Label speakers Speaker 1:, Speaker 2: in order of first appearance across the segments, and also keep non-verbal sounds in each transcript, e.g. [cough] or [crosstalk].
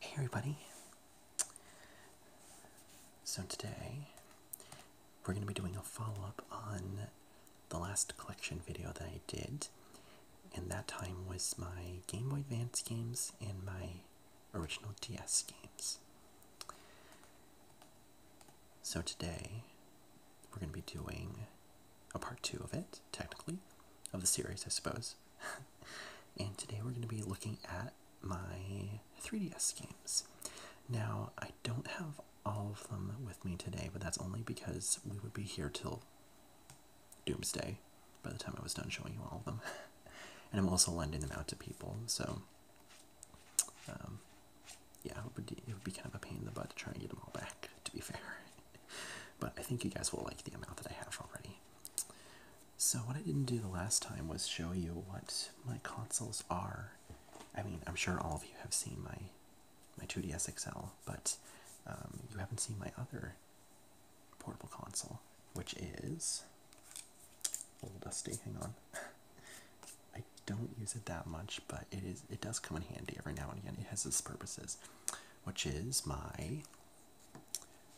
Speaker 1: Hey everybody. So today we're going to be doing a follow-up on the last collection video that I did. And that time was my Game Boy Advance games and my original DS games. So today we're going to be doing a part two of it, technically, of the series, I suppose. [laughs] and today we're going to be looking at my 3DS games. Now, I don't have all of them with me today, but that's only because we would be here till doomsday by the time I was done showing you all of them. [laughs] and I'm also lending them out to people, so um, yeah, it would, be, it would be kind of a pain in the butt to try and get them all back, to be fair. but I think you guys will like the amount that I have already. So, what I didn't do the last time was show you what my consoles are. I mean, I'm sure all of you have seen my, my 2DS XL, but um, you haven't seen my other portable console, which is a little dusty. Hang on. [laughs] don't use it that much, but it is it does come in handy every now and again. It has its purposes, which is my.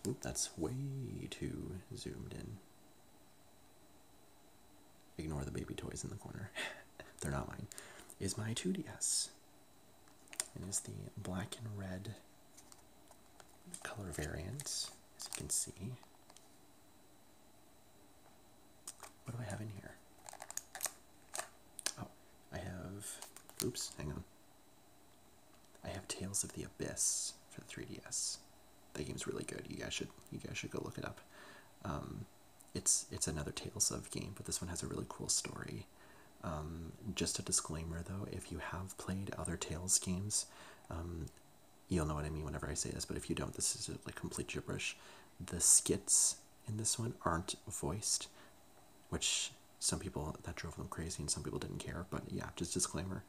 Speaker 1: Oop, that's way too zoomed in. Ignore the baby toys in the corner; [laughs] they're not mine. Is my 2DS. It is the black and red color variant, as you can see. What do I have in here? Oh, I have. Oops, hang on. I have Tales of the Abyss for the 3DS. That game's really good. You guys should you guys should go look it up. Um, it's it's another Tales of game, but this one has a really cool story. Um, just a disclaimer though, if you have played other Tales games, um, you'll know what I mean whenever I say this. But if you don't, this is like complete gibberish. The skits in this one aren't voiced, which some people that drove them crazy and some people didn't care. But yeah, just disclaimer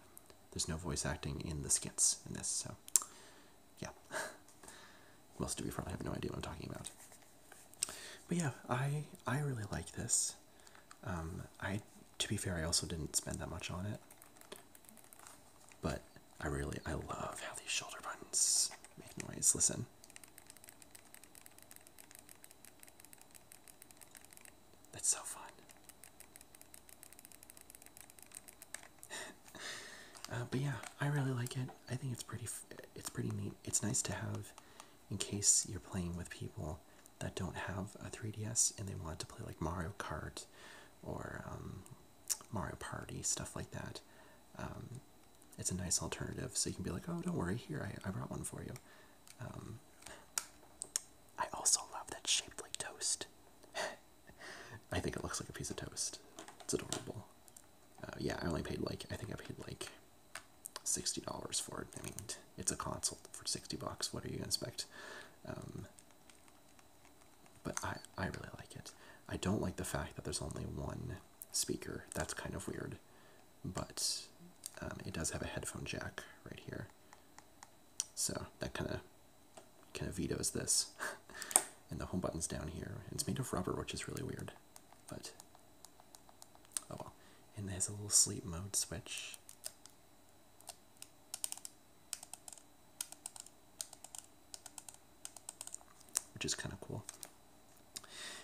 Speaker 1: there's no voice acting in the skits in this, so yeah. [laughs] most of you probably have no idea what I'm talking about? But yeah, I I really like this. Um, I to be fair, I also didn't spend that much on it, but I really I love how these shoulder buttons make noise. Listen, that's so fun. [laughs] Uh, but yeah, I really like it. I think it's pretty. It's pretty neat. It's nice to have, in case you're playing with people that don't have a 3DS and they want to play like Mario Kart, or um, Mario Party stuff like that. Um, it's a nice alternative. So you can be like, oh, don't worry, here, I, I brought one for you. Um, I also love that shaped like toast. [laughs] I think it looks like a piece of toast. It's adorable. Uh, yeah, I only paid like, I think I paid like $60 for it. I mean, it's a console for 60 bucks. What are you going expect? Um, but I, I really like it. I don't like the fact that there's only one speaker. That's kind of weird, but um, it does have a headphone jack right here. So that kind of kind of vetoes this. [laughs] and the home button's down here. It's made of rubber, which is really weird, but oh well. And there's a little sleep mode switch which is kind of cool.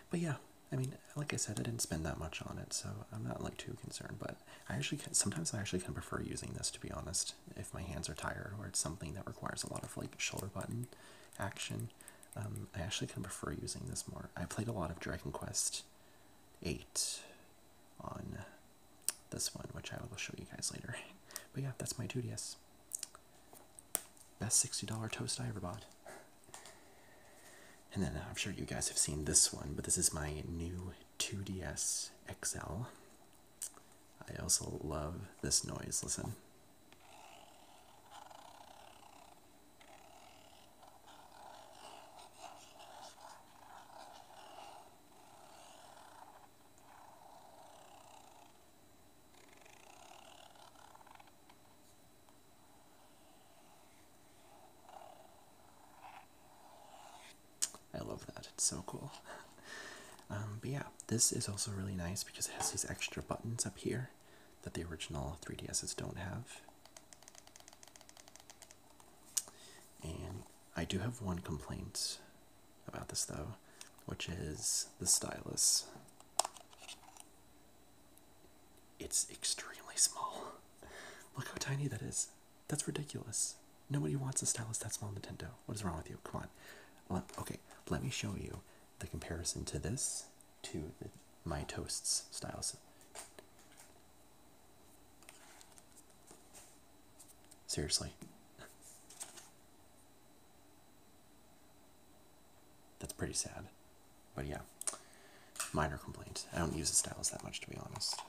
Speaker 1: But yeah, I mean, like I said, I didn't spend that much on it, so I'm not like too concerned. But I actually sometimes I actually kind of prefer using this to be honest. If my hands are tired or it's something that requires a lot of like shoulder button action, um, I actually kind of prefer using this more. I played a lot of Dragon Quest Eight on this one, which I will show you guys later. [laughs] But yeah, that's my 2DS. Best $60 toast I ever bought. And then uh, I'm sure you guys have seen this one, but this is my new 2DS XL. I also love this noise. Listen. I love that. It's so cool. [laughs] Um, but yeah, this is also really nice because it has these extra buttons up here that the original 3DSs don't have. And I do have one complaint about this though, which is the stylus. It's extremely small. [laughs] Look how tiny that is. That's ridiculous. Nobody wants a stylus that small Nintendo. What is wrong with you? Come on. Let, okay, let me show you the comparison to this to my Toasts stylus. Seriously. That's pretty sad. But yeah, minor complaint. I don't use the stylus that much, to be honest.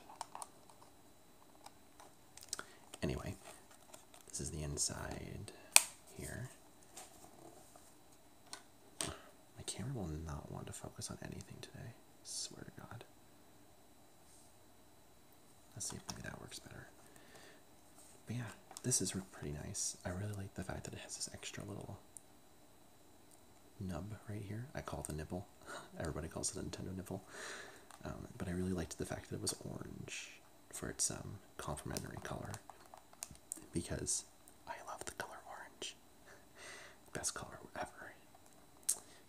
Speaker 1: Anyway, this is the inside here. My camera will not want to focus on anything today. Swear to God. Let's see if maybe that works better. But yeah, this is pretty nice. I really like the fact that it has this extra little nub right here. I call the nipple. [laughs] Everybody calls it a Nintendo nipple. Um, but I really liked the fact that it was orange for its um, complementary color because I love the color orange. [laughs] Best color ever.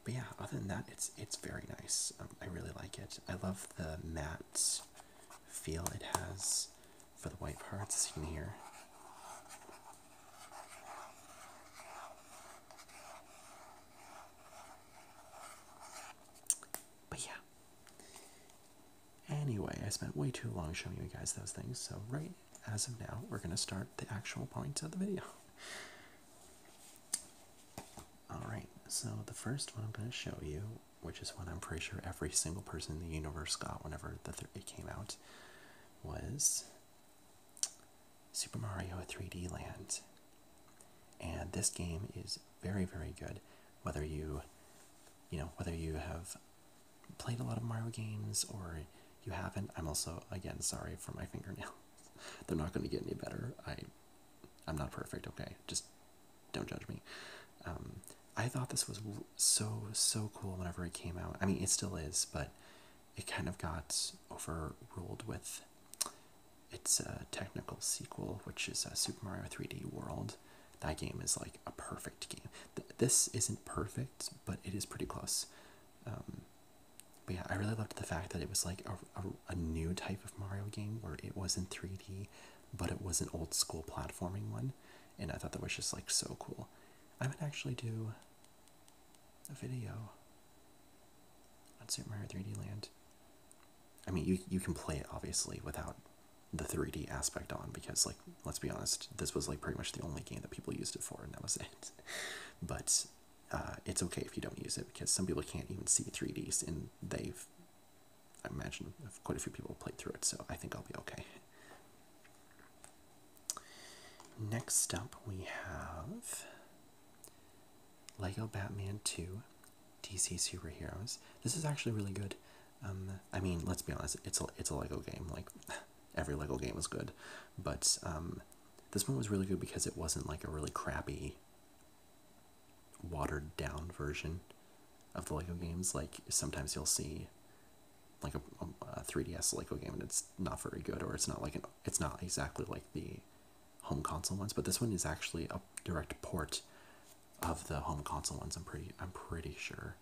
Speaker 1: But yeah, other than that, it's it's very nice. Um, I really like it. I love the matte feel it has for the white parts, as here, But yeah. Anyway, I spent way too long showing you guys those things, so right as of now, we're going to start the actual points of the video. [laughs] Alright, so the first one I'm going to show you which is what I'm pretty sure every single person in the universe got whenever the it came out, was Super Mario 3D Land. And this game is very, very good. Whether you, you know, whether you have played a lot of Mario games or you haven't, I'm also again sorry for my [laughs] fingernail, They're not going to get any better. I, I'm not perfect. Okay, just don't judge me. Um, I thought this was so so cool whenever it came out. I mean, it still is, but it kind of got overruled with its uh, technical sequel, which is uh, Super Mario 3D World. That game is like a perfect game. this isn't perfect, but it is pretty close. Um, but yeah, I really loved the fact that it was like a, a new type of Mario game where it wasn't 3D, but it was an old school platforming one and I thought that was just like so cool. I would actually do a video on Super Mario 3D Land. I mean, you you can play it obviously without the 3D aspect on because like let's be honest, this was like pretty much the only game that people used it for, and that was [laughs] it. but uh, it's okay if you don't use it because some people can't even see 3Ds and they've I imagine quite a few people played through it, so I think I'll be okay. Next up, we have Lego Batman 2 DC Superheroes. This is actually really good. Um, I mean, let's be honest, it's a, it's a Lego game. Like, [laughs] every Lego game is good. But um, this one was really good because it wasn't like a really crappy, watered down version of the Lego games. Like sometimes you'll see like a, 3DS Lego game and it's not very good, or it's not like an it's not exactly like the home console ones. But this one is actually a direct port of the home console ones. I'm pretty I'm pretty sure.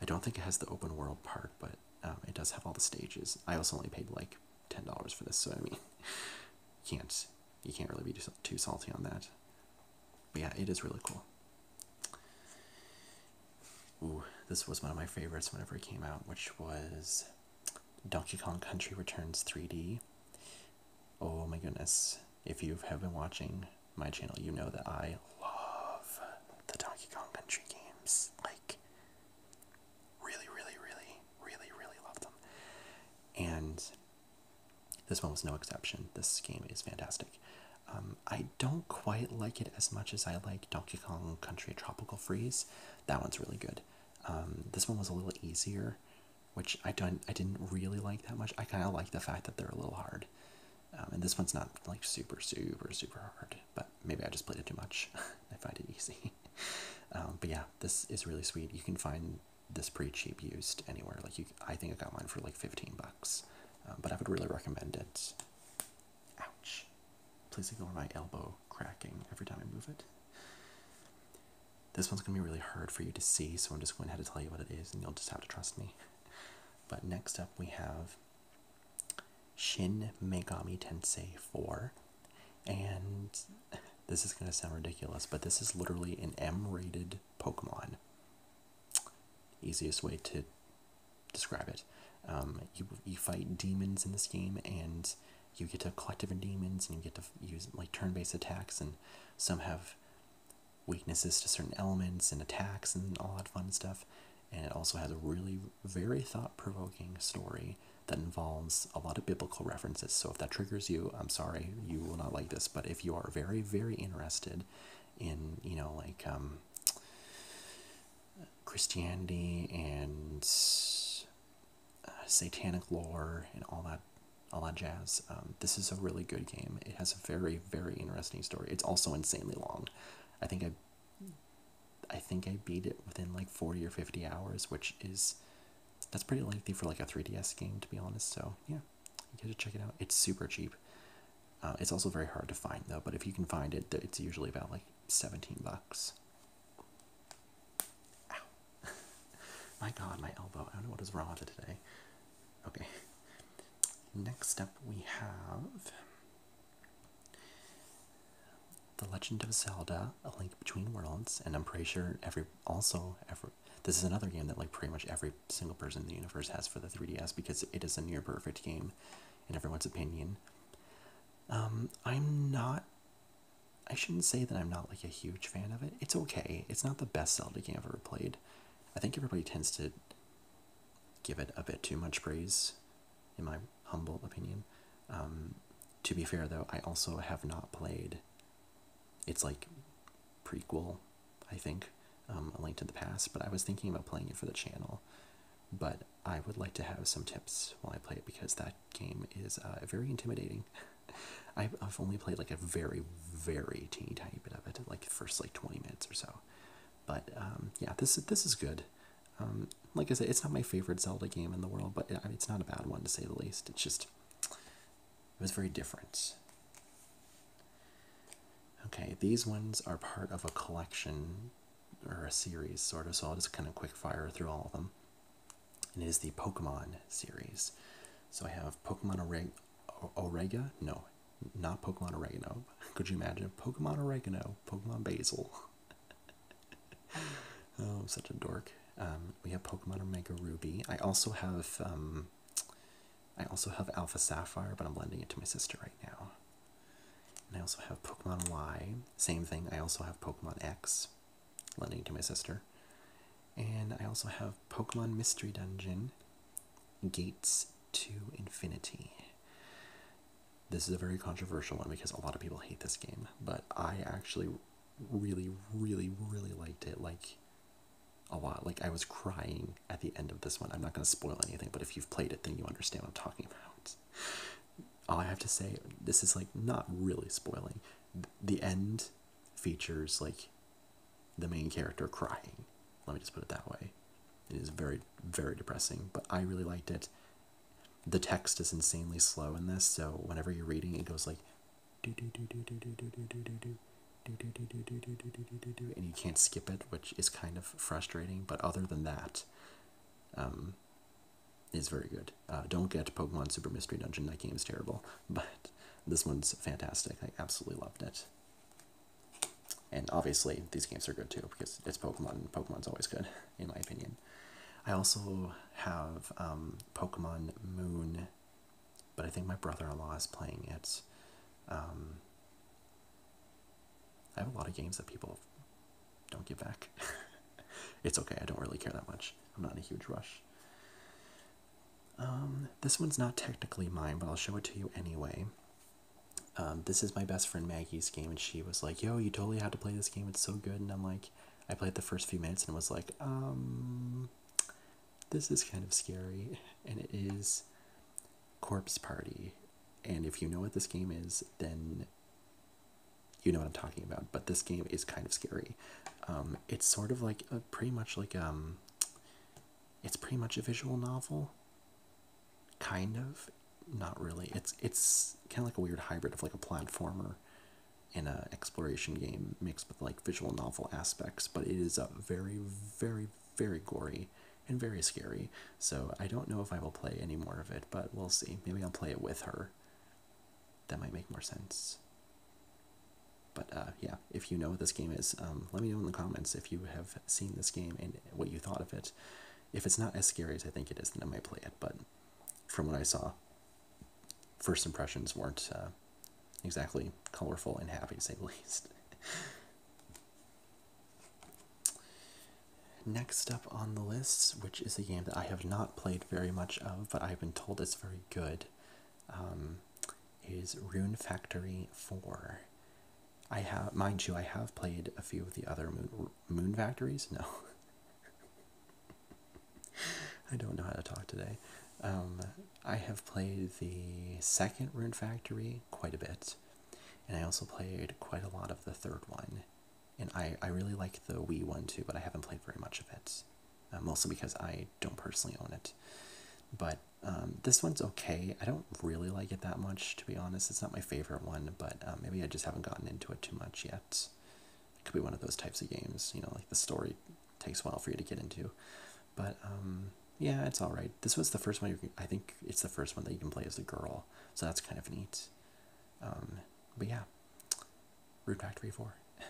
Speaker 1: I don't think it has the open world part, but um, it does have all the stages. I also only paid like ten dollars for this, so I mean, [laughs] you can't you can't really be too salty on that. But yeah, it is really cool. Ooh, this was one of my favorites whenever it came out, which was Donkey Kong Country Returns 3D. Oh my goodness. If you have been watching my channel, you know that I love the Donkey Kong Country games. Like, really, really, really, really, really love them. And this one was no exception. This game is fantastic. Um, I don't quite like it as much as I like Donkey Kong Country Tropical Freeze. That one's really good. Um, this one was a little easier, which I don't. I didn't really like that much. I kind of like the fact that they're a little hard. Um, and this one's not like super, super, super hard, but maybe I just played it too much. [laughs] I find it easy. [laughs] but yeah, this is really sweet. You can find this pretty cheap used anywhere. Like you, I think I got mine for like 15 bucks. Um, but I would really recommend it. Ouch! Please ignore my elbow cracking every time I move it. This one's gonna be really hard for you to see, so I'm just going to have to tell you what it is, and you'll just have to trust me. But next up, we have Shin Megami Tensei 4, and [laughs] this is gonna sound ridiculous, but this is literally an M-rated Pokemon easiest way to describe it. Um, you you fight demons in this game, and you get to collect different demons, and you get to use like turn-based attacks, and some have weaknesses to certain elements and attacks and all that fun stuff. And it also has a really very thought-provoking story that involves a lot of biblical references. So if that triggers you, I'm sorry, you will not like this. But if you are very very interested in you know like um, Christianity and uh, satanic lore and all that all that jazz. Um, this is a really good game. It has a very very interesting story. It's also insanely long. I think I I think I beat it within like 40 or 50 hours, which is that's pretty lengthy for like a 3DS game to be honest. So, yeah. You get to check it out. It's super cheap. Uh, it's also very hard to find though, but if you can find it, it's usually about like 17 bucks. [laughs] my god, my elbow. I don't know what is wrong with it today. Okay. Next up, we have The Legend of Zelda: A Link Between Worlds, and I'm pretty sure every also every this is another game that like pretty much every single person in the universe has for the 3DS because it is a near perfect game in everyone's opinion. Um, I'm not. I shouldn't say that I'm not like a huge fan of it. It's okay. It's not the best Zelda game I've ever played. I think everybody tends to give it a bit too much praise, in my humble opinion. Um, to be fair, though, I also have not played its like prequel I think, um, A Link to the Past, but I was thinking about playing it for the channel. But I would like to have some tips while I play it because that game is uh, very intimidating. [laughs] I've, I've only played like a very, very teeny tiny bit of it, like first like 20 minutes or so. But um, yeah, this this is good. Um, like I said, it's not my favorite Zelda game in the world, but it's not a bad one to say the least. It's just it was very different. Okay, these ones are part of a collection or a series, sort of, so I'll just kind of quick fire through all of them. And it is the Pokemon series. So I have Pokemon Oreg Orega? No, not Pokemon Oregano. [laughs] Could you imagine? Pokemon Oregano, Pokemon Basil. [laughs] oh, such a dork. Um, we have Pokemon Omega Ruby. I also have um, I also have Alpha Sapphire, but I'm lending it to my sister right now. And I also have Pokemon Y, same thing. I also have Pokemon X, lending to my sister. And I also have Pokemon Mystery Dungeon, Gates to Infinity. This is a very controversial one because a lot of people hate this game, but I actually really, really, really liked it. Like, a lot. Like I was crying at the end of this one. I'm not going to spoil anything, but if you've played it, then you understand what I'm talking about. All I have to say, this is like not really spoiling. The end features like the main character crying. Let me just put it that way. It is very, very depressing, but I really liked it. The text is insanely slow in this, so whenever you're reading, it goes like do do do do do do do do do do and you can't skip it, which is kind of frustrating. But other than that, um, is very good. Uh, don't get Pokemon Super Mystery Dungeon. That game is terrible, [laughs] but this one's fantastic. I absolutely loved it. And obviously, these games are good too because it's Pokemon. Pokemon's always good, [laughs] in my opinion. I also have um, Pokemon Moon, but I think my brother-in-law is playing it. Um, I have a lot of games that people don't give back. [laughs] it's okay, I don't really care that much. I'm not in a huge rush. Um, this one's not technically mine, but I'll show it to you anyway. Um, this is my best friend Maggie's game, and she was like, Yo, you totally have to play this game, it's so good. And I'm like, I played the first few minutes and was like, um, this is kind of scary. [laughs] And it is Corpse Party. And if you know what this game is, then you know what I'm talking about. But this game is kind of scary. Um, it's sort of like a pretty much like um, it's pretty much a visual novel. Kind of, not really. It's it's kind of like a weird hybrid of like a platformer and a exploration game mixed with like visual novel aspects. But it is a very very very gory and very scary. So I don't know if I will play any more of it, but we'll see. Maybe I'll play it with her. That might make more sense. But uh, yeah, if you know what this game is, um, let me know in the comments if you have seen this game and what you thought of it. If it's not as scary as I think it is, then I might play it. But from what I saw, first impressions weren't uh, exactly colorful and happy, to say the [laughs] least. Next up on the list, which is a game that I have not played very much of, but I've been told it's very good, um, is Rune Factory 4. I have, mind you, I have played a few of the other Moon, Factories. No. [laughs] I don't know how to talk today. Um, I have played the second Rune Factory quite a bit and I also played quite a lot of the third one, and I I really like the Wii one too, but I haven't played very much of it, uh, mostly because I don't personally own it. But um, this one's okay. I don't really like it that much, to be honest. It's not my favorite one, but um, maybe I just haven't gotten into it too much yet. It could be one of those types of games, you know, like the story takes a while for you to get into. But um, yeah, it's all right. This was the first one. You can, I think it's the first one that you can play as a girl, so that's kind of neat. Um, but yeah, Root Factory Four. [laughs]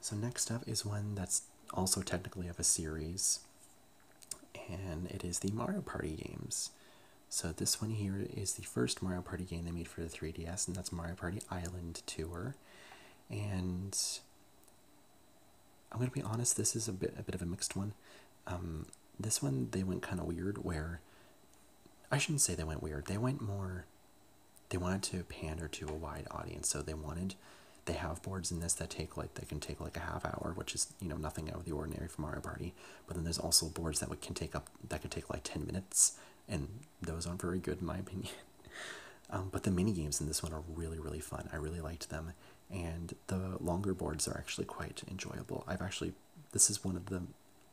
Speaker 1: so next up is one that's also technically of a series, and it is the Mario Party games. So this one here is the first Mario Party game they made for the 3DS, and that's Mario Party Island Tour. And I'm gonna be honest. This is a bit a bit of a mixed one. Um, this one they went kind of weird. Where I shouldn't say they went weird. They went more. They wanted to pander to a wide audience, so they wanted. They have boards in this that take like they can take like a half hour, which is you know nothing out of the ordinary for Mario Party. But then there's also boards that can take up that could take like ten minutes, and those aren't very good in my opinion. [laughs] Um, but the mini games in this one are really really fun. I really liked them, and the longer boards are actually quite enjoyable. I've actually this is one of the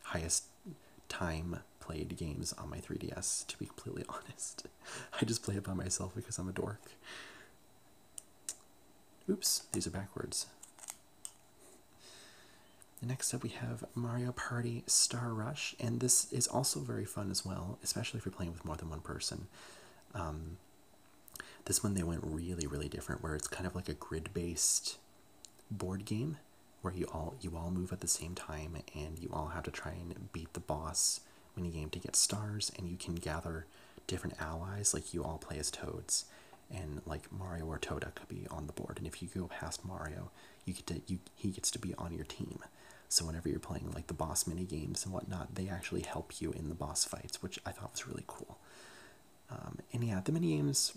Speaker 1: highest time played games on my 3DS. To be completely [laughs] honest, I just play it by myself because I'm a dork. Oops, these are backwards. Next up, we have Mario Party Star Rush, and this is also very fun as well, especially if you're playing with more than one person. Um, this one they went really, really different, where it's kind of like a grid-based board game, where you all you all move at the same time, and you all have to try and beat the boss mini game to get stars, and you can gather different allies. Like you all play as toads, and like Mario or Toda could be on the board, and if you go past Mario, you get to you he gets to be on your team. So whenever you're playing like the boss mini games and whatnot, they actually help you in the boss fights, which I thought was really cool. Um, and yeah, the mini games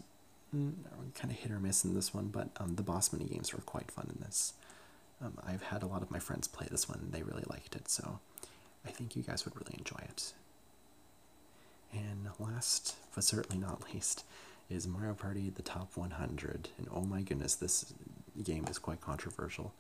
Speaker 1: mm, are kind of hit or miss in this one, but um, the boss mini games were quite fun in this. Um, I've had a lot of my friends play this one; they really liked it, so I think you guys would really enjoy it. And last, but certainly not least, is Mario Party: The Top 100. And oh my goodness, this game is quite controversial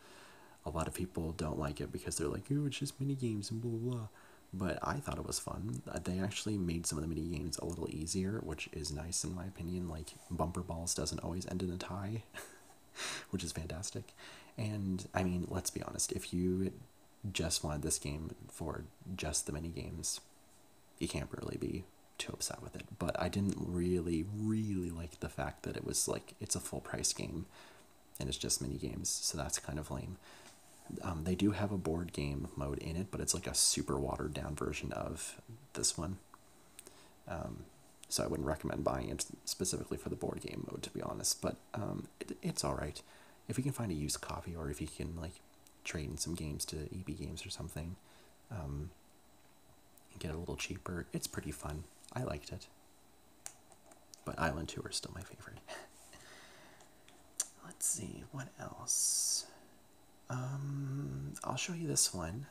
Speaker 1: a lot of people don't like it because they're like, oh, it's just mini games and blah blah blah. But I thought it was fun. Uh, they actually made some of the mini games a little easier, which is nice in my opinion. Like bumper balls doesn't always end in a tie, [laughs] which is fantastic. And I mean, let's be honest, if you just wanted this game for just the mini games, you can't really be too upset with it. But I didn't really, really like the fact that it was like it's a full price game and it's just mini games, so that's kind of lame. Um, they do have a board game mode in it, but it's like a super watered down version of this one. Um, so I wouldn't recommend buying it specifically for the board game mode, to be honest. But um, it's all right if you can find a used copy, or if you can like trade in some games to EB Games or something get a little cheaper. It's pretty fun. I liked it. But Island Two is still my favorite. [laughs] Let's see, what else? Um, I'll show you this one.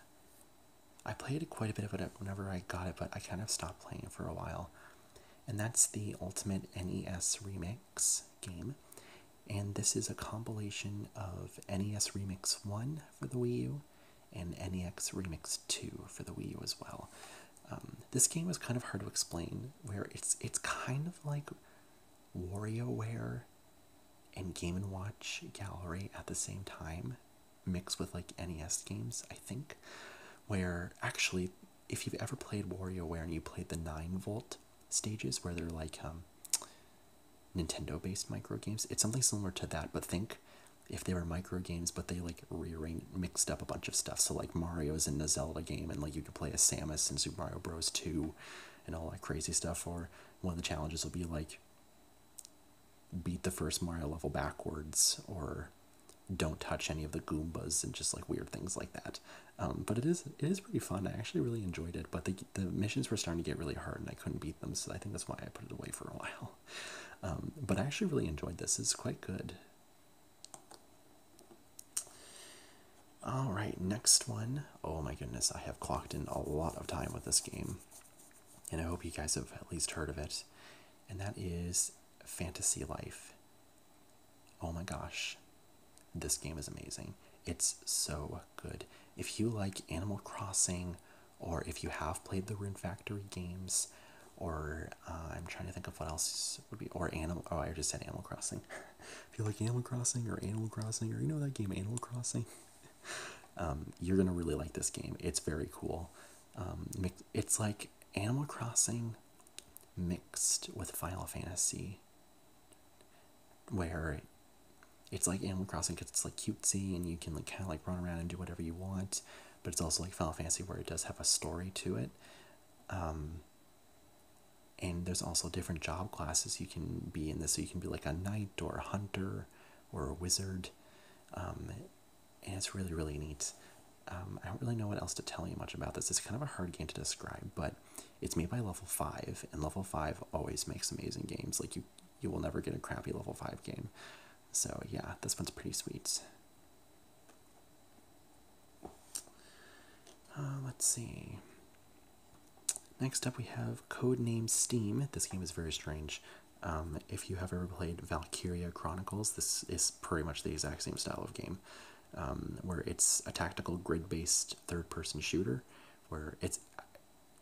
Speaker 1: I played quite a bit of it whenever I got it, but I kind of stopped playing for a while. And that's the Ultimate NES Remix game. And this is a compilation of NES Remix 1 for the Wii U and NEX Remix 2 for the Wii U as well. Um, this game was kind of hard to explain, where it's it's kind of like WarioWare and Game & Watch Gallery at the same time, mixed with like NES games, I think, where actually if you've ever played WarioWare and you played the 9-volt stages where they're like um, Nintendo-based micro games, it's something similar to that, but think if they were micro games, but they like rearranged mixed up a bunch of stuff. So like Mario's in the Zelda game, and like you could play a Samus in Super Mario Bros. Two, and all that crazy stuff. Or one of the challenges will be like beat the first Mario level backwards, or don't touch any of the Goombas, and just like weird things like that. Um, but it is it is pretty fun. I actually really enjoyed it. But the the missions were starting to get really hard, and I couldn't beat them. So I think that's why I put it away for a while. Um, but I actually really enjoyed this. It's quite good. All right, next one. Oh my goodness, I have clocked in a lot of time with this game. And I hope you guys have at least heard of it. And that is Fantasy Life. Oh my gosh, this game is amazing. It's so good. If you like Animal Crossing, or if you have played the Rune Factory games, or uh, I'm trying to think of what else would be, or Animal. Oh, I just said Animal Crossing. [laughs] if you like Animal Crossing or Animal Crossing, or you know that game Animal Crossing, [laughs] um, you're gonna really like this game. It's very cool. Um, it's like Animal Crossing mixed with Final Fantasy, where it's like Animal Crossing because it's like cutesy and you can like kind of like run around and do whatever you want, but it's also like Final Fantasy where it does have a story to it. Um, and there's also different job classes you can be in this. So you can be like a knight or a hunter or a wizard. Um, and it's really, really neat. Um, I don't really know what else to tell you much about this. It's kind of a hard game to describe, but it's made by Level 5, and Level 5 always makes amazing games. Like, you, you will never get a crappy Level 5 game. So yeah, this one's pretty sweet. Uh, let's see. Next up, we have Code Name Steam. This game is very strange. Um, if you have ever played Valkyria Chronicles, this is pretty much the exact same style of game, um, where it's a tactical grid-based third-person shooter, where it's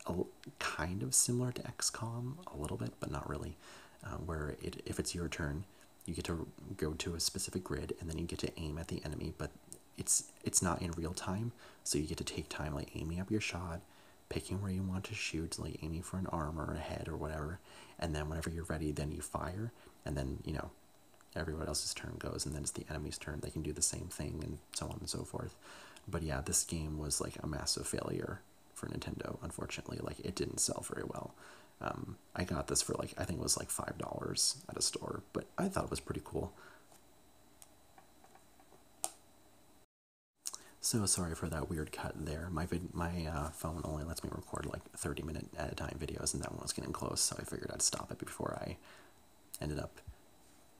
Speaker 1: a, kind of similar to XCOM a little bit, but not really. Um, where it, if it's your turn, you get to go to a specific grid and then you get to aim at the enemy, but it's it's not in real time, so you get to take time like aiming up your shot, picking where you want to shoot, like aiming for an arm or a head or whatever, and then whenever you're ready, then you fire, and then you know everyone else's turn goes, and then it's the enemy's turn. They can do the same thing and so on and so forth. But yeah, this game was like a massive failure for Nintendo. Unfortunately, like it didn't sell very well. Um, I got this for like I think it was like five dollars at a store, but I thought it was pretty cool. So sorry for that weird cut there. My vid- my uh, phone only lets me record like 30 minute at a time videos, and that one was getting close, so I figured I'd stop it before I ended up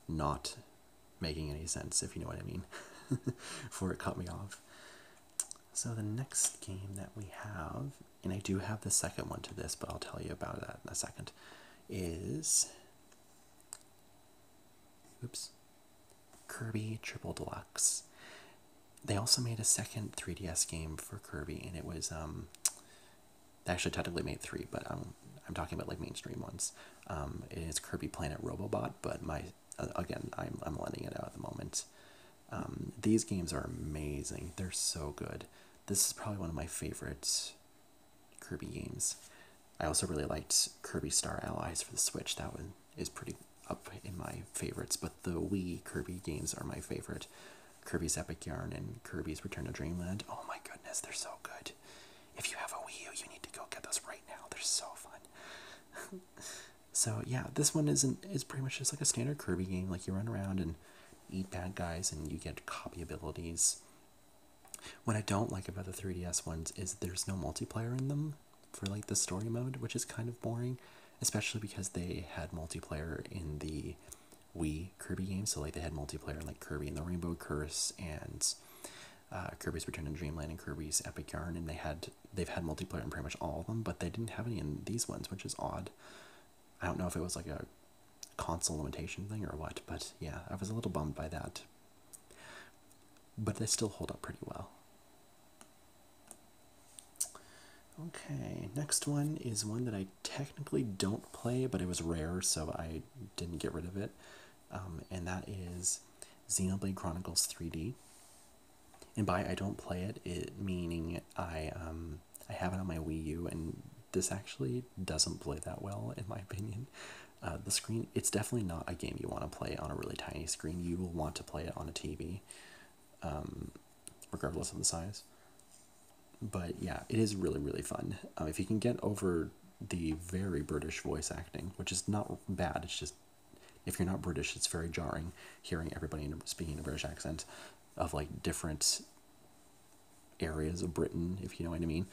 Speaker 1: not making any sense, if you know what I mean, [laughs] before it cut me off. So the next game that we have, and I do have the second one to this, but I'll tell you about that in a second, is oops, Kirby Triple Deluxe. They also made a second 3DS game for Kirby, and it was um, actually technically made three, but um, I'm talking about like mainstream ones. Um, it's Kirby Planet Robobot, but my again, I'm, I'm letting it out at the moment. Um, these games are amazing. They're so good. This is probably one of my favorite Kirby games. I also really liked Kirby Star Allies for the Switch. That one is pretty up in my favorites, but the Wii Kirby games are my favorite. Kirby's Epic Yarn and Kirby's Return to Dreamland. Oh my goodness, they're so good. If you have a Wii U, you need to go get those right now. They're so fun. [laughs] So yeah, this one isn't is pretty much just like a standard Kirby game. Like you run around and eat bad guys and you get copy abilities. What I don't like about the 3DS ones is there's no multiplayer in them for like the story mode, which is kind of boring, especially because they had multiplayer in the Wii Kirby games. So like they had multiplayer in like Kirby and the Rainbow Curse and uh, Kirby's Return to Dreamland and Kirby's Epic Yarn, and they had they've had multiplayer in pretty much all of them, but they didn't have any in these ones, which is odd. I don't know if it was like a console limitation thing or what, but yeah, I was a little bummed by that. But they still hold up pretty well. Okay, next one is one that I technically don't play, but it was rare, so I didn't get rid of it. Um, and that is Xenoblade Chronicles 3D and by I don't play it, it meaning I um I have it on my Wii U, and this actually doesn't play that well in my opinion. Uh, the screen it's definitely not a game you want to play on a really tiny screen. You will want to play it on a TV, um, regardless of the size. But yeah, it is really really fun. Um, if you can get over the very British voice acting, which is not bad, it's just if you're not British, it's very jarring hearing everybody speaking a British accent of like different areas of Britain, if you know what I mean.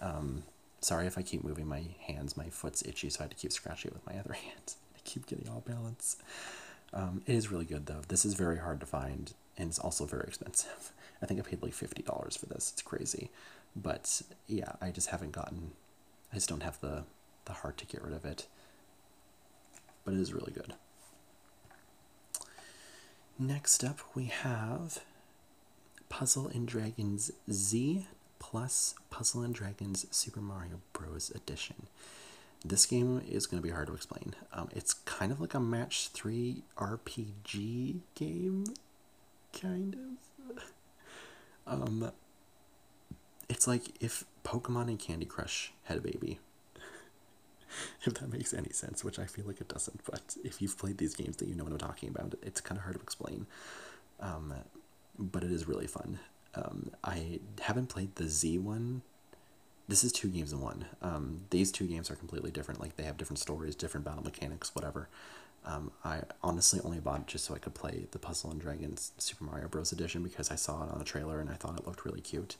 Speaker 1: Um, sorry if I keep moving my hands, my foot's itchy, so I had to keep scratching it with my other [laughs] hand. I keep getting all balance. Um, it is really good though. This is very hard to find and it's also very expensive. [laughs] I think I paid like $50 for this. It's crazy. But yeah, I just haven't gotten I just don't have the, the heart to get rid of it. But it is really good. Next up, we have Puzzle and Dragons Z plus Puzzle and Dragons Super Mario Bros. Edition. This game is going to be hard to explain. Um, it's kind of like a match 3 RPG game, kind of. [laughs] Um, it's like if Pokemon and Candy Crush had a baby. [laughs] if that makes any sense, which I feel like it doesn't, but if you've played these games that you know what I'm talking about, it's kind of hard to explain. Um, but it is really fun. Um, I haven't played the Z one. This is two games in one. Um, these two games are completely different. Like they have different stories, different battle mechanics, whatever. I honestly only bought it just so I could play the Puzzle and Dragons Super Mario Bros. edition because I saw it on a trailer and I thought it looked really cute,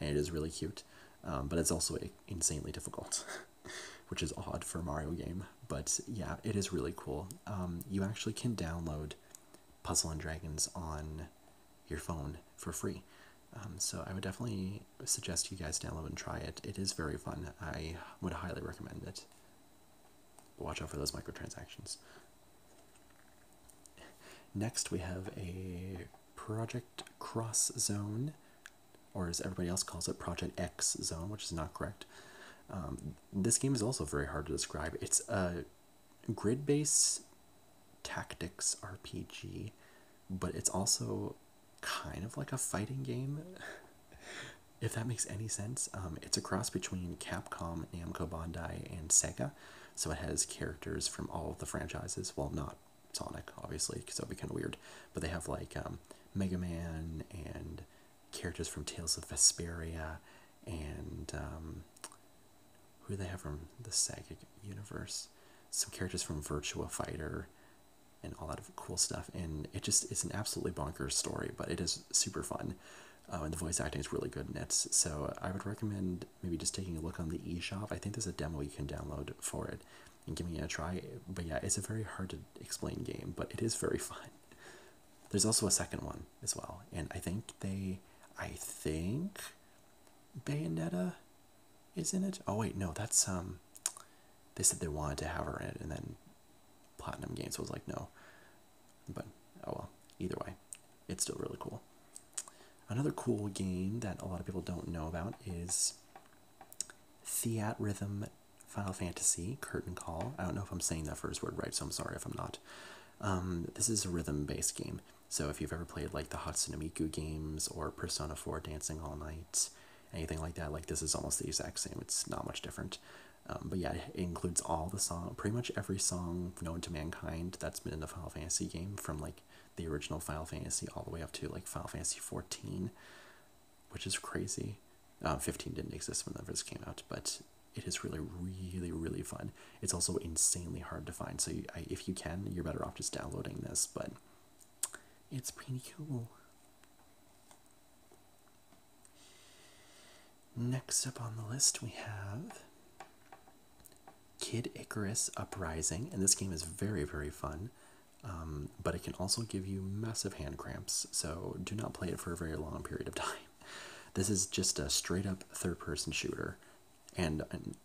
Speaker 1: and it is really cute. Um, but it's also insanely difficult, [laughs] which is odd for a Mario game. But yeah, it is really cool. Um, you actually can download Puzzle and Dragons on your phone for free. Um, so I would definitely suggest you guys download and try it. It is very fun. I would highly recommend it. Watch out for those microtransactions. Next, we have a Project Cross Zone, or as everybody else calls it, Project X Zone, which is not correct. Um, this game is also very hard to describe. It's a grid based tactics RPG, but it's also kind of like a fighting game, [laughs] if that makes any sense. Um, it's a cross between Capcom Namco Bandai and Sega, so it has characters from all of the franchises. Well, not Sonic, obviously, because that would be kind of weird, but they have like um, Mega Man and characters from Tales of Vesperia and um, who do they have from the Sega universe? Some characters from Virtua Fighter and all that cool stuff. And it just its an absolutely bonkers story, but it is super fun um, and the voice acting is really good in it. So I would recommend maybe just taking a look on the e shop. I think there's a demo you can download for it and giving it a try. But yeah, it's a very hard to explain game, but it is very [laughs] fun. There's also a second one as well, and I think they, I think, Bayonetta, is not it. Oh wait, no, that's um, they said they wanted to have her in it, and then Platinum Games was like, no, but oh well, either way, it's still really cool. Another cool game that a lot of people don't know about is Theat Rhythm Final Fantasy Curtain Call. I don't know if I'm saying that first word right, so I'm sorry if I'm not. Um, this is a rhythm based game. So if you've ever played like the Hatsune Miku games or Persona 4 Dancing All Night, anything like that, like this is almost the exact same. It's not much different. Um, but yeah, it includes all the song, pretty much every song known to mankind that's been in the Final Fantasy game, from like the original Final Fantasy all the way up to like Final Fantasy 14, which is crazy. Um, 15 didn't exist when that first came out, but it is really, really, really fun. It's also insanely hard to find, so if you can, you're better off just downloading this. But it's pretty cool. Next up on the list, we have Kid Icarus Uprising, and this game is very, very fun, um, but it can also give you massive hand cramps, so do not play it for a very long period of [laughs] time. This is just a straight up third person shooter and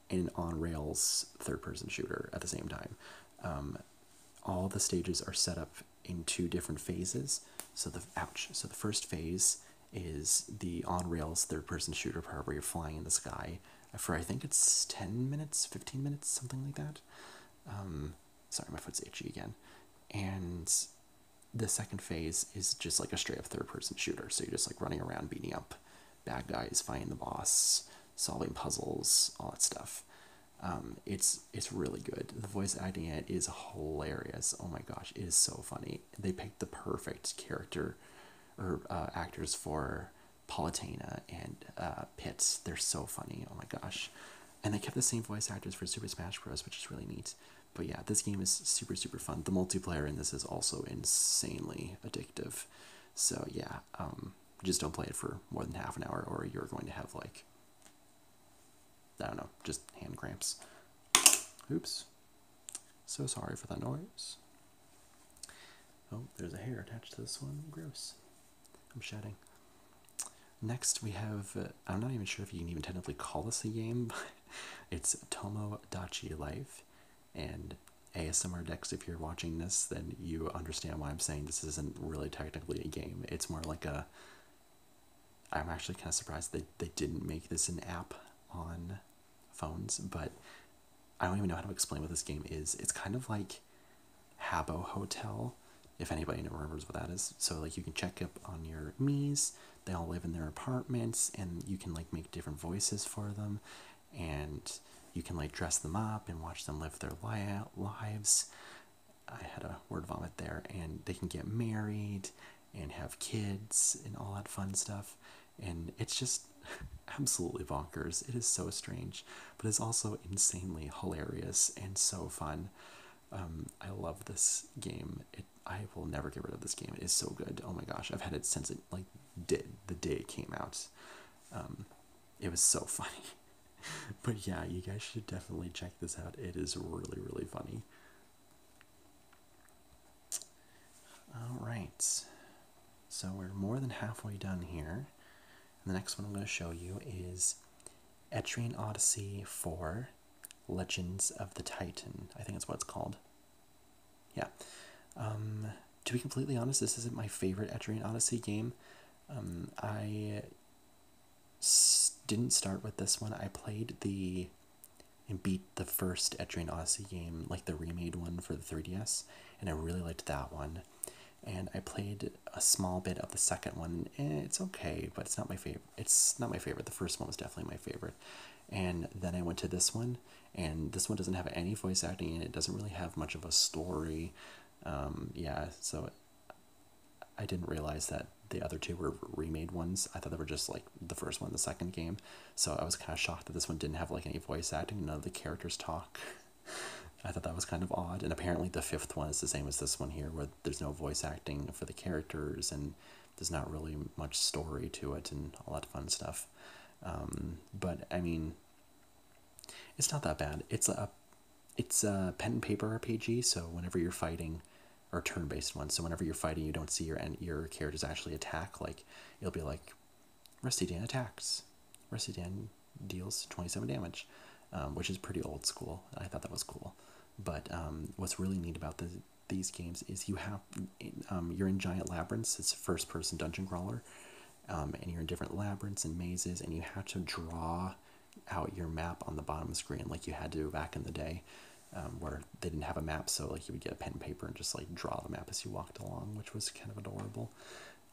Speaker 1: an, on rails third person shooter at the same time. Um, all the stages are set up in two different phases. So the ouch. So the first phase is the on rails third person shooter part where you're flying in the sky uh, for I think it's 10 minutes, 15 minutes, something like that. Um, sorry, my foot's itchy again. And the second phase is just like a straight up third person shooter. So you're just like running around, beating up bad guys, fighting the boss, solving puzzles, all that stuff. Um, it's it's really good. The voice acting in it is hilarious. Oh my gosh, it is so funny they picked the perfect character or uh, actors for Palutena and uh, Pitts. They're so funny. Oh my gosh. And they kept the same voice actors for Super Smash Bros, which is really neat. But yeah, this game is super, super fun. The multiplayer in this is also insanely addictive. So yeah, um, just don't play it for more than half an hour or you're going to have like I don't know, just hand cramps. Oops. So sorry for the noise. Oh, there's a hair attached to this one. Gross. I'm shedding. Next, we have, uh, I'm not even sure if you can even technically call this a game, [laughs] but it's Tomodachi Life. And ASMR decks, if you're watching this, then you understand why I'm saying this isn't really technically a game. It's more like a I'm actually kind of surprised that they didn't make this an app on phones, but I don't even know how to explain what this game is. It's kind of like Habo Hotel, if anybody remembers what that is. So like you can check up on your mies. they all live in their apartments, and you can like make different voices for them, and you can like dress them up and watch them live their li- lives. I had a word vomit there, and they can get married, and have kids and all that fun stuff. And it's just [laughs] absolutely bonkers. It is so strange, but it's also insanely hilarious and so fun. Um, I love this game. It, I will never get rid of this game. It is so good. Oh my gosh, I've had it since it like did the day it came out. Um, it was so [laughs] funny. but yeah, you guys should definitely check this out. It is really really funny. All right, so we're more than halfway done here. the next one I'm going to show you is Etrian Odyssey 4 Legends of the Titan. I think it's what it's called. Yeah. Um, to be completely honest, this isn't my favorite Etrian Odyssey game. Um, I didn't start with this one. I played the and beat the first Etrian Odyssey game, like the remade one for the 3DS, and I really liked that one. And I played a small bit of the second one, and it's okay, but it's not my favorite. It's not my favorite. The first one was definitely my favorite. And then I went to this one, and this one doesn't have any voice acting, and it doesn't really have much of a story. Um, yeah, so I didn't realize that the other two were remade ones. I thought they were just like the first one, the second game. So I was kind of shocked that this one didn't have like any voice acting. None of the characters talk. [laughs] I thought that was kind of odd. And apparently the fifth one is the same as this one here, where there's no voice acting for the characters and there's not really much story to it and all that fun stuff. Um, but I mean, it's not that bad. It's a it's a pen and paper RPG, so whenever you're fighting, or turn-based ones. So whenever you're fighting, you don't see your and your characters actually attack. Like it'll be like Rusty Dan attacks. Rusty Dan deals 27 damage, um, which is pretty old school. I thought that was cool. But um, what's really neat about the, these games is you have um, you're in giant labyrinths. It's first-person dungeon crawler, um, and you're in different labyrinths and mazes, and you have to draw out your map on the bottom screen like you had to back in the day. Um, where they didn't have a map, so like you would get a pen and paper and just like draw the map as you walked along, which was kind of adorable.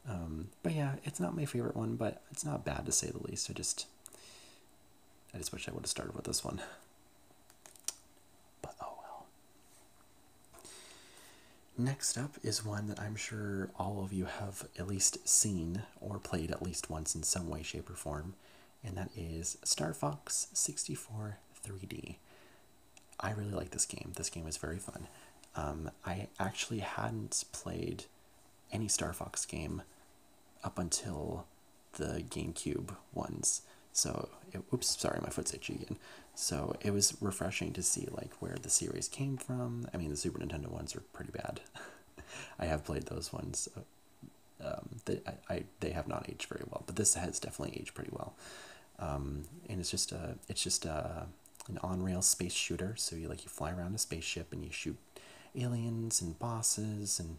Speaker 1: Um, but yeah, it's not my favorite one, but it's not bad to say the least. I just, I just wish I would have started with this one. But oh well. Next up is one that I'm sure all of you have at least seen or played at least once in some way, shape, or form, and that is Star Fox 64 3D. I really like this game. This game is very fun. Um, I actually hadn't played any Star Fox game up until the GameCube ones. So, it, oops, sorry, my foot's itchy again. So it was refreshing to see like where the series came from. I mean, the Super Nintendo ones are pretty bad. [laughs] I have played those ones um, that I, they have not aged very well, but this has definitely aged pretty well. Um, and it's just a it's just a, an on rail space shooter. So you like you fly around a spaceship and you shoot aliens and bosses and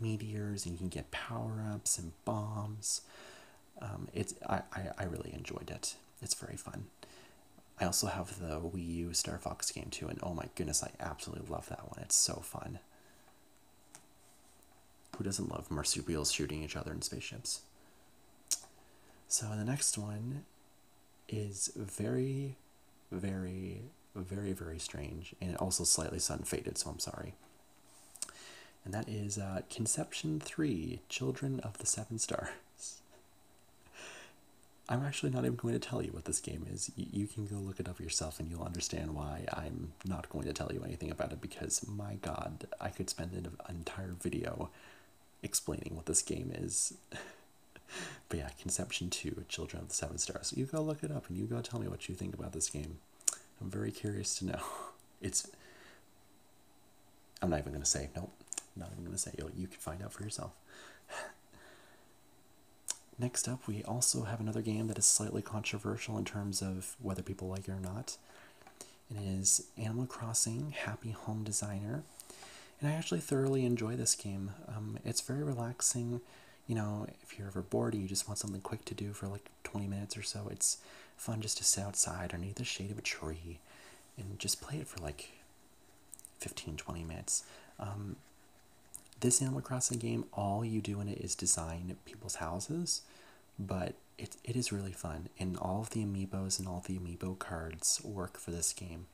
Speaker 1: meteors, and you can get power ups and bombs. Um, it's I, I, I really enjoyed it. It's very fun. I also have the Wii U Star Fox game too, and oh my goodness, I absolutely love that one. It's so fun. Who doesn't love marsupials shooting each other in spaceships? So the next one is very, very, very, very strange and also slightly sun faded, so I'm sorry. And that is uh, Conception 3 Children of the Seven Stars. [laughs] I'm actually not even going to tell you what this game is. you can go look it up yourself and you'll understand why I'm not going to tell you anything about it because my god, I could spend an entire video explaining what this game is. [laughs] but yeah, Conception 2, Children of the Seven Stars. You go look it up and you go tell me what you think about this game. I'm very curious to know. [laughs] It's. I'm not even going to say. Nope. Not even going to say. You can find out for yourself. [laughs] Next up, we also have another game that is slightly controversial in terms of whether people like it or not. It is Animal Crossing Happy Home Designer. And I actually thoroughly enjoy this game. Um, it's very relaxing. You know, if you're ever bored or you just want something quick to do for like 20 minutes or so, it's fun just to sit outside under the shade of a tree and just play it for like 15 20 minutes. Um, this Animal Crossing game, all you do in it is design people's houses, but it, it is really fun, and all of the amiibos and all the amiibo cards work for this game.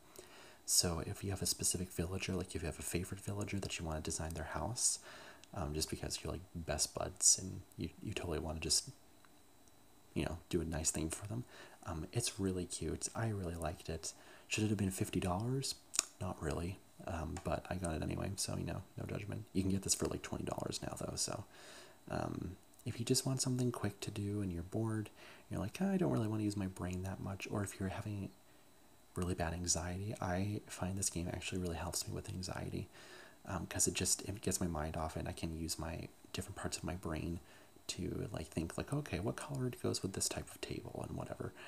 Speaker 1: So if you have a specific villager, like if you have a favorite villager that you want to design their house, um, just because you're like best buds and you, you totally want to just, you know, do a nice thing for them, um, it's really cute. I really liked it. Should it have been $50? Not really. Um, but I got it anyway, so you know, no judgment. You can get this for like twenty dollars now though, so um, if you just want something quick to do and you're bored, you're like, I don't really want to use my brain that much, or if you're having really bad anxiety, I find this game actually really helps me with anxiety because um, it just it gets my mind off and I can use my different parts of my brain to like think like, okay, what color goes with this type of table and whatever. [laughs]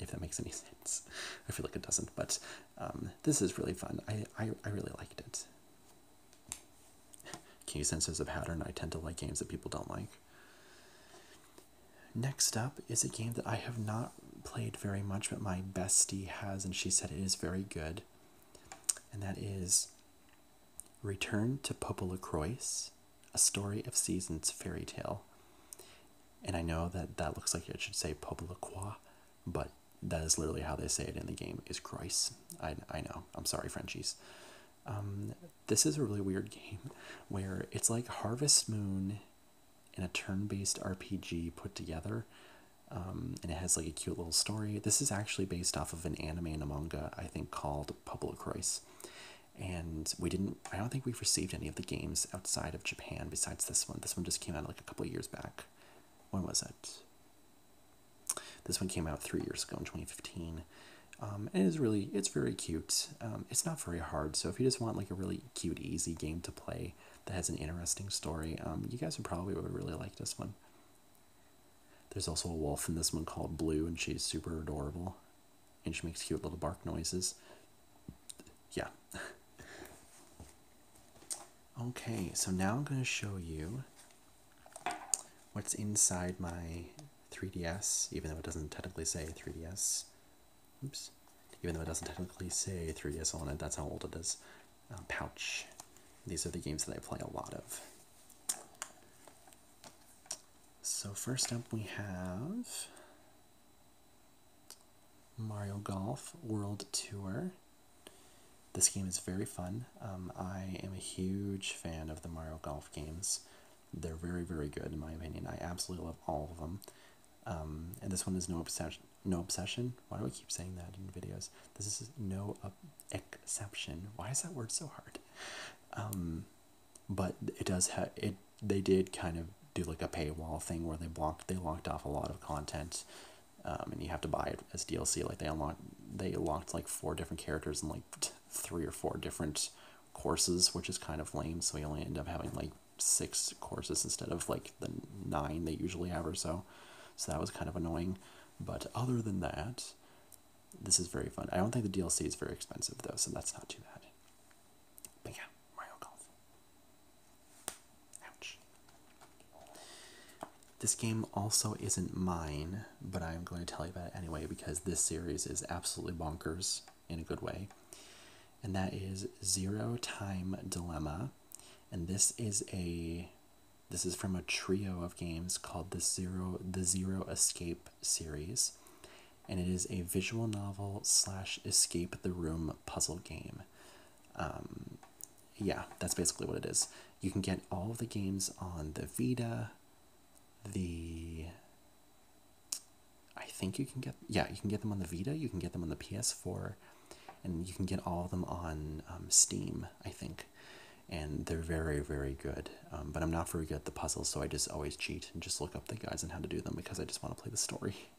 Speaker 1: if that makes any sense. I feel like it doesn't, but um, this is really fun. I, I, I really liked it. Can senses of pattern? I tend to like games that people don't like. Next up is a game that I have not played very much, but my bestie has, and she said it is very good. And that is Return to Popolacroix, a story of seasons fairy tale. And I know that that looks like it should say Poblaquoi, but that is literally how they say it in the game is Christ. I, I know. I'm sorry, Frenchies. Um, this is a really weird game where it's like Harvest Moon and a turn-based RPG put together. Um, and it has like a cute little story. This is actually based off of an anime and a manga, I think, called Public Rice. And we didn't I don't think we've received any of the games outside of Japan besides this one. This one just came out like a couple years back. When was it? This one came out three years ago in 2015. Um, and it is really, it's very cute. Um, it's not very hard, so if you just want like a really cute, easy game to play that has an interesting story, um, you guys would probably really like this one. There's also a wolf in this one called Blue, and she's super adorable, and she makes cute little bark noises yeah. [laughs] okay, so now I'm going to show you what's inside my 3DS, even though it doesn't technically say 3DS. Oops. Even though it doesn't technically say 3DS on it, that's how old it is. Uh, pouch. These are the games that I play a lot of. So first up we have Mario Golf World Tour. This game is very fun. Um, I am a huge fan of the Mario Golf games. They're very, very good in my opinion. I absolutely love all of them. Um, and this one is no obsession. No obsession. Why do I keep saying that in videos? This is no exception. Why is that word so hard? Um, but it does have it they did kind of do like a paywall thing where they blocked they locked off a lot of content, um, and you have to buy it as DLC. Like they unlocked they locked like four different characters and like three or four different courses, which is kind of lame. So we only end up having like six courses instead of like the nine they usually have or so. So that was kind of annoying. But other than that, this is very fun. I don't think the DLC is very expensive though, so that's not too bad. But yeah. Mario Golf. Ouch. This game also isn't mine, but I'm going to tell you about it anyway because this series is absolutely bonkers in a good way. And that is Zero Time Dilemma. And this is a this is from a trio of games called the Zero the Zero Escape series. And it is a visual novel slash escape the room puzzle game. Um, yeah, that's basically what it is. You can get all the games on the Vita, the. I think you can get. Yeah, you can get them on the Vita, you can get them on the PS4, and you can get all of them on um, Steam, I think. And they're very, very good. Um, but I'm not very good at the puzzles, so I just always cheat and just look up the guides on how to do them because I just want to play the story. [laughs]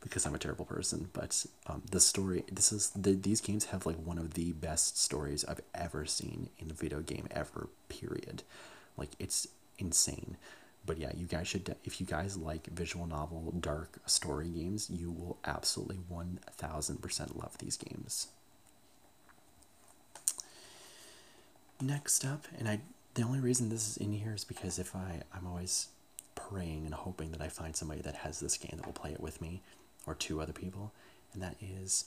Speaker 1: because I'm a terrible person. But um, the story, this is these games have like one of the best stories I've ever seen in a video game ever. Period. Like it's insane. But yeah, you guys should. If you guys like visual novel, dark story games, you will absolutely one thousand percent love these games. Next up, and I the only reason this is in here is because if I I'm always praying and hoping that I find somebody that has this game that will play it with me or two other people, and that is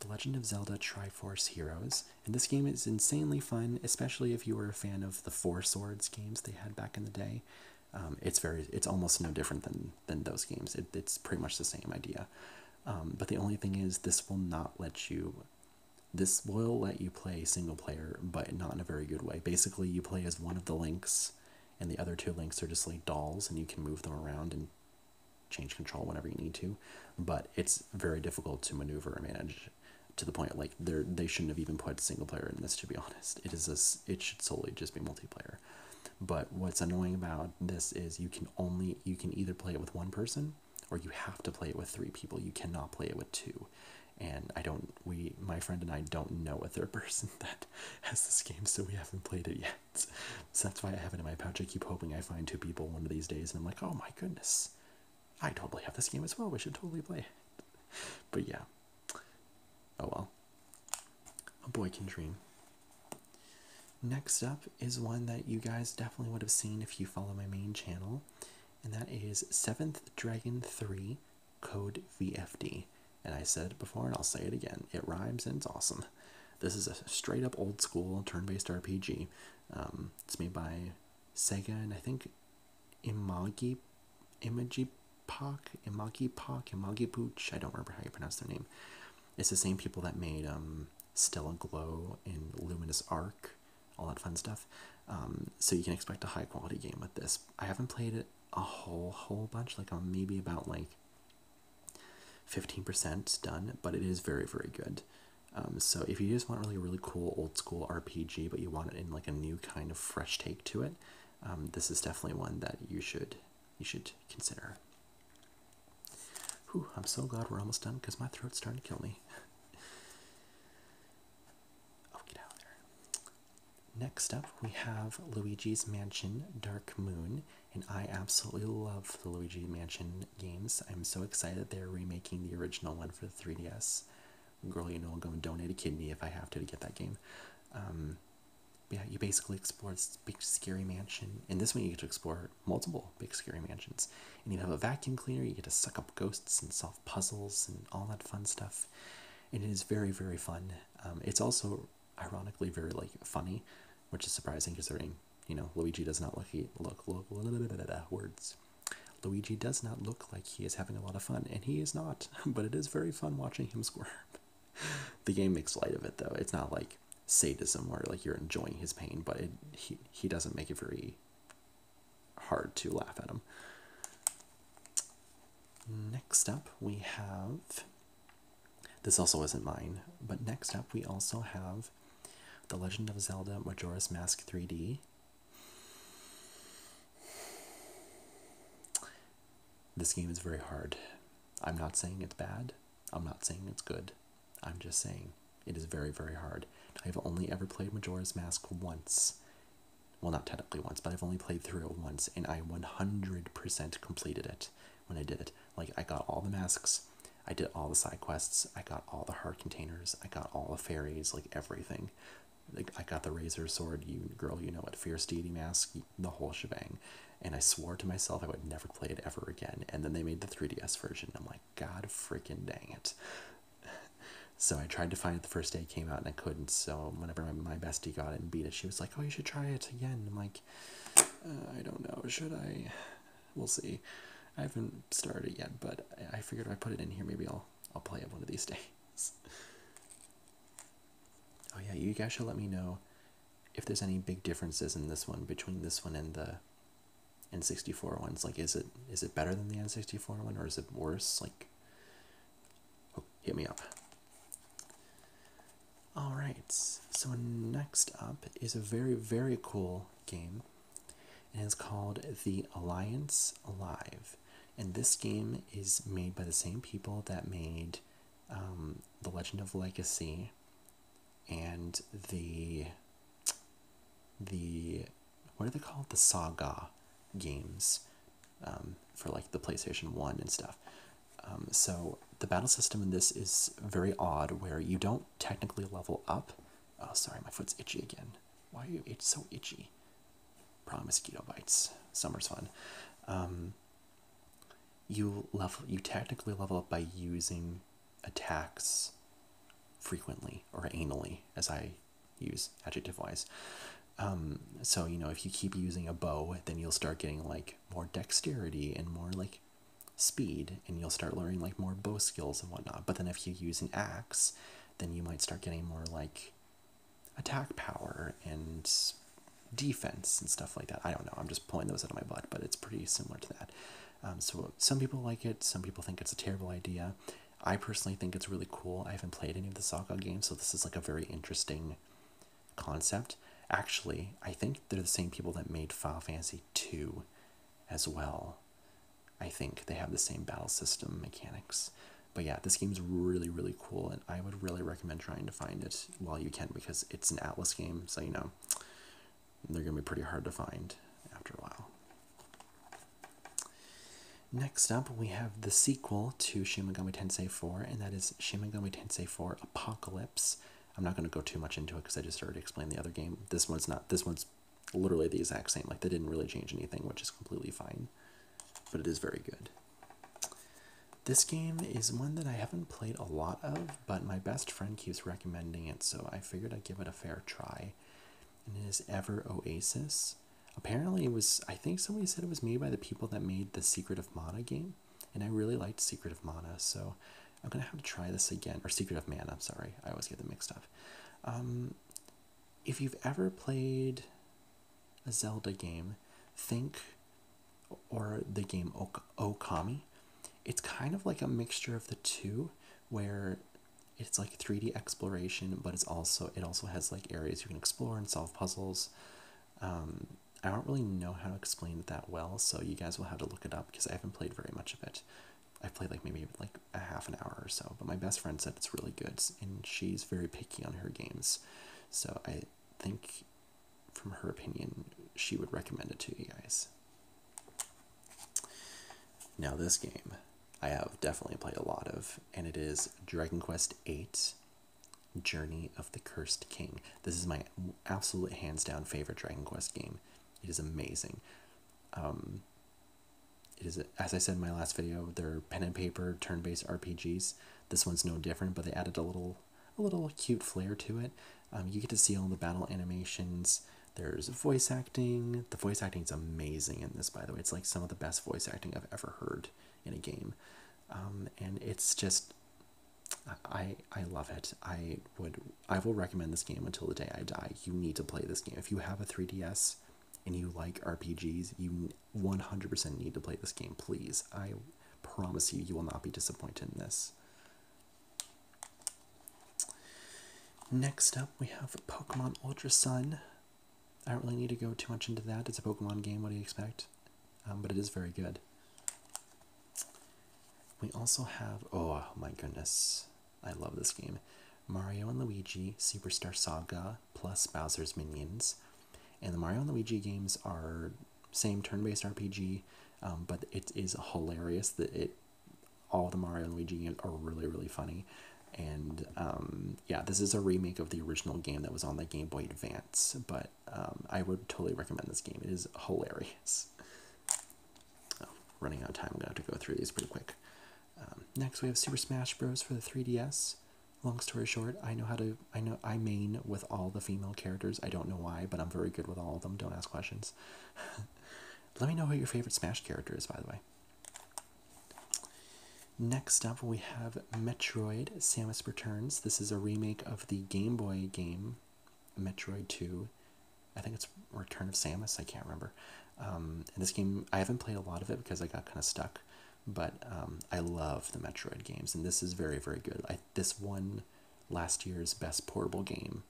Speaker 1: The Legend of Zelda Triforce Heroes. And this game is insanely fun, especially if you are a fan of the Four Swords games they had back in the day. Um, it's very it's almost no different than than those games. it's pretty much the same idea. Um, but the only thing is this will not let you this will let you play single player, but not in a very good way. Basically, you play as one of the links, and the other two links are just like dolls, and you can move them around and change control whenever you need to. But it's very difficult to maneuver and manage to the point like they they shouldn't have even put single player in this. To be [laughs] honest, it is this. it should solely just be multiplayer. But what's annoying about this is you can only you can either play it with one person or you have to play it with three people. You cannot play it with two and I don't we my friend and I don't know a third [laughs] person that has this game, so we haven't played it yet. So that's why I have it in my pouch. I keep hoping I find two people one of these days, and I'm like, oh my goodness, I totally have this game as well. We should totally play it. But yeah, oh well, a boy can dream. Next up is one that you guys definitely would have seen if you follow my main channel, and that is Seventh Dragon 3 code VFD. And I said it before and I'll say it again. It rhymes and it's awesome. This is a straight up old school turn based RPG. Um, it's made by Sega and I think Imagi, Imagi Pak, Imagi Park, Imagi Pooch. I don't remember how you pronounce their name. It's the same people that made um, Stella Glow and Luminous Arc all that fun stuff. Um, so you can expect a high quality game with this. I haven't played it a whole whole bunch, like um, maybe about like 15% done, but it is very very good. Um, so if you just want really really cool old school RPG, but you want it in like a new kind of fresh take to it, this is definitely one that you should you should consider. Whew, I'm so glad we're almost done because my throat's starting to kill me. [laughs] Oh, get out there. Next up, we have Luigi's Mansion Dark Moon, and I absolutely love the Luigi Mansion games. I'm so excited they're remaking the original one for the 3DS. Girl, you know, I'll go and donate a kidney if I have to to get that game. Um, yeah, you basically explore this big scary mansion. and this one, you get to explore multiple big scary mansions. And you have a vacuum cleaner, you get to suck up ghosts and solve puzzles and all that fun stuff. And it is very, very fun. Um, it's also ironically very like funny, which is surprising because considering you know Luigi does not look he look look [laughs] words. Luigi does not look like he is having a lot of fun, and he is not. [laughs] But it is very fun watching him [laughs] squirm. the game makes light of it though. It's not like sadism where like you're enjoying his pain, but he he doesn't make it very hard to laugh at them. Next up, we have. This also isn't mine, but next up, we also have The Legend of Zelda Majora's Mask 3D. This game is very hard. I'm not saying it's bad, I'm not saying it's good. I'm just saying it is very, very hard. I've only ever played Majora's Mask once, well, not technically once, but I've only played through it once, and I 100% completed it when I did it. Like, I got all the masks, I did all the side quests, I got all the heart containers, I got all the fairies, like everything. Like, I got the razor sword, you girl, you know what, fierce deity mask, the whole shebang. And I swore to myself I would never play it ever again. And then they made the 3DS version. I'm like, God freaking dang it. [laughs] so I tried to find it the first day it came out and I couldn't. So whenever my, bestie got it and beat it, she was like, "Oh, you should try it again." I'm like, uh, "I don't know, should I?" We'll see. I haven't started yet, but I, figured if I put it in here, maybe I'll I'll play it one of these [laughs] days. oh yeah, you guys should let me know if there's any big differences in this one between this one and the N64 ones. Like, is it is it better than the N64 one, or is it worse? Like, hit me up. All right. So next up is a very very cool game, and it's called The Alliance Alive. And this game is made by the same people that made um, The Legend of Legacy and the the what are they called the Saga games. Um, for like the PlayStation 1 and stuff. Um, so the battle system in this is very odd where you don't technically level up. Oh, sorry, my foot's itchy again. Why are you it's so itchy? Probably mosquito bites. Summer's fun. Um, you level you technically level up by using attacks frequently or anally, as I use adjective wise. Um, so you know if you keep using a bow, then you'll start getting like more dexterity and more like speed, and you'll start learning like more bow skills and whatnot. But then if you use an axe, then you might start getting more like attack power and defense and stuff like that. I don't know. I'm just pulling those out of my butt, but it's pretty similar to that. Um, so some people like it. Some people think it's a terrible idea. I personally think it's really cool. I haven't played any of the soccer games, so this is like a very interesting concept. Actually, I think they're the same people that made Final Fantasy 2 as well. I think they have the same battle system mechanics. But yeah, this game's really, really cool, and I would really recommend trying to find it while you can because it's an Atlas game, so you know, they're going to be pretty hard to find after a while. Next up, we have the sequel to Shin Megami Tensei 4, and that is Shin Megami Tensei 4 Apocalypse. I'm not going to go too much into it because I just already explained the other game. This one's not. This one's literally the exact same. Like they didn't really change anything, which is completely fine. But it is very good. This game is one that I haven't played a lot of, but my best friend keeps recommending it, so I figured I'd give it a fair try. And it is Ever Oasis apparently it was i think somebody said it was made by the people that made the secret of mana game and i really liked secret of mana so i'm gonna have to try this again or secret of mana i'm sorry i always get them mixed up um, if you've ever played a zelda game think or the game ok okami it's kind of like a mixture of the two where it's like 3d exploration but it's also it also has like areas you can explore and solve puzzles. Um, I don't really know how to explain it that well, so you guys will have to look it up because I haven't played very much of it. i played like maybe like a half an hour or so, but my best friend said it's really good, and she's very picky on her games, so I think, from her opinion, she would recommend it to you guys. Now this game. I have definitely played a lot of, and it is Dragon Quest VIII Journey of the Cursed King. This is my absolute hands down favorite Dragon Quest game. It is amazing. Um, it is, as I said in my last video, they're pen and paper turn based RPGs. This one's no different, but they added a little a little cute flair to it. Um, you get to see all the battle animations. There's voice acting. The voice acting is amazing in this, by the way. It's like some of the best voice acting I've ever heard in a game, um, and it's just I I love it. I would I will recommend this game until the day I die. You need to play this game if you have a 3DS and you like RPGs. You 100% need to play this game. Please, I promise you, you will not be disappointed in this. Next up, we have Pokemon Ultra Sun. I don't really need to go too much into that. It's a Pokemon game, what do you expect? Um, but it is very good. We also have, oh my goodness, I love this game. Mario and Luigi, Superstar Saga, plus Bowser's Minions. And the Mario and Luigi games are same turn-based RPG, um, but it is hilarious that it all the Mario and Luigi games are really, really funny. And um, yeah, this is a remake of the original game that was on the Game Boy Advance, but um, I would totally recommend this game. It is hilarious. Oh, running out of time, I'm gonna have to go through these pretty quick. Um, next, we have Super Smash Bros. for the 3DS. Long story short, I know how to. I know I main with all the female characters. I don't know why, but I'm very good with all of them. Don't ask questions. [laughs] Let me know who your favorite Smash character is, by the way. Next up, we have Metroid Samus Returns. This is a remake of the Game Boy game, Metroid 2. I think it's Return of Samus, I can't remember. Um, and this game, I haven't played a lot of it because I got kind of stuck, but um, I love the Metroid games, and this is very, very good. I, this won last year's best portable game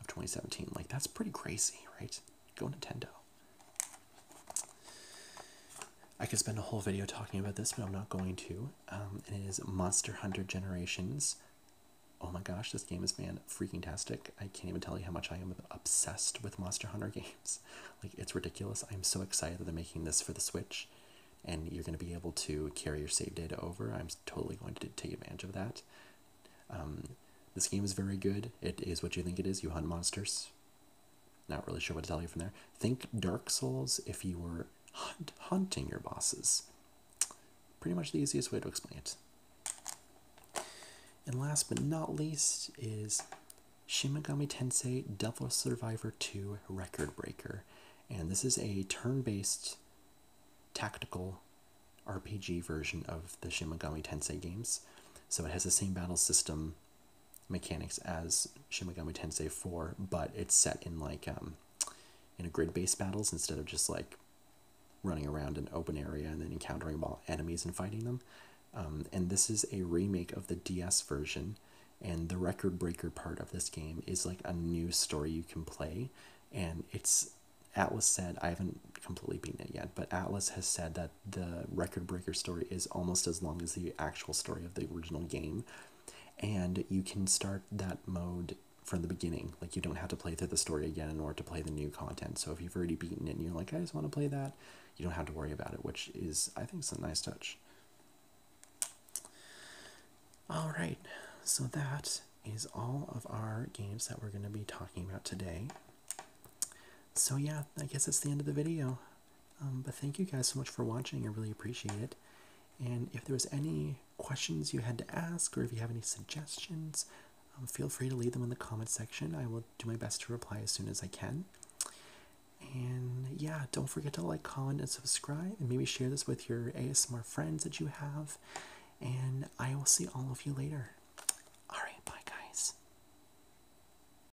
Speaker 1: of 2017. Like, that's pretty crazy, right? Go Nintendo. I could spend a whole video talking about this, but I'm not going to. Um, and it is Monster Hunter Generations. Oh my gosh, this game is man freaking tastic. I can't even tell you how much I am obsessed with Monster Hunter [laughs] games. Like it's ridiculous. I'm so excited that they're making this for the Switch, and you're going to be able to carry your save data over. I'm totally going to take advantage of that. Um, this game is very good. It is what you think it is. You hunt monsters. Not really sure what to tell you from there. Think Dark Souls if you were hunt hunting your bosses. Pretty much the easiest way to explain it. And last but not least is Shin Tensei Devil Survivor 2 Record Breaker. And this is a turn based tactical RPG version of the Shin Tensei games. So it has the same battle system mechanics as Shin Megami Tensei 4, but it's set in like um, in a grid-based battles instead of just like running around an open area and then encountering enemies and fighting them. Um, and this is a remake of the DS version, and the record breaker part of this game is like a new story you can play, and it's Atlas said I haven't completely beaten it yet, but Atlas has said that the record breaker story is almost as long as the actual story of the original game. And you can start that mode from the beginning. Like, you don't have to play through the story again in order to play the new content. So, if you've already beaten it and you're like, I just want to play that, you don't have to worry about it, which is, I think, some nice touch. All right, so that is all of our games that we're going to be talking about today. So, yeah, I guess that's the end of the video. Um, but thank you guys so much for watching. I really appreciate it. And if there was any questions you had to ask, or if you have any suggestions, um, feel free to leave them in the comment section. I will do my best to reply as soon as I can. And yeah, don't forget to like, comment, and subscribe, and maybe share this with your ASMR friends that you have. And I will see all of you later. Alright, bye guys.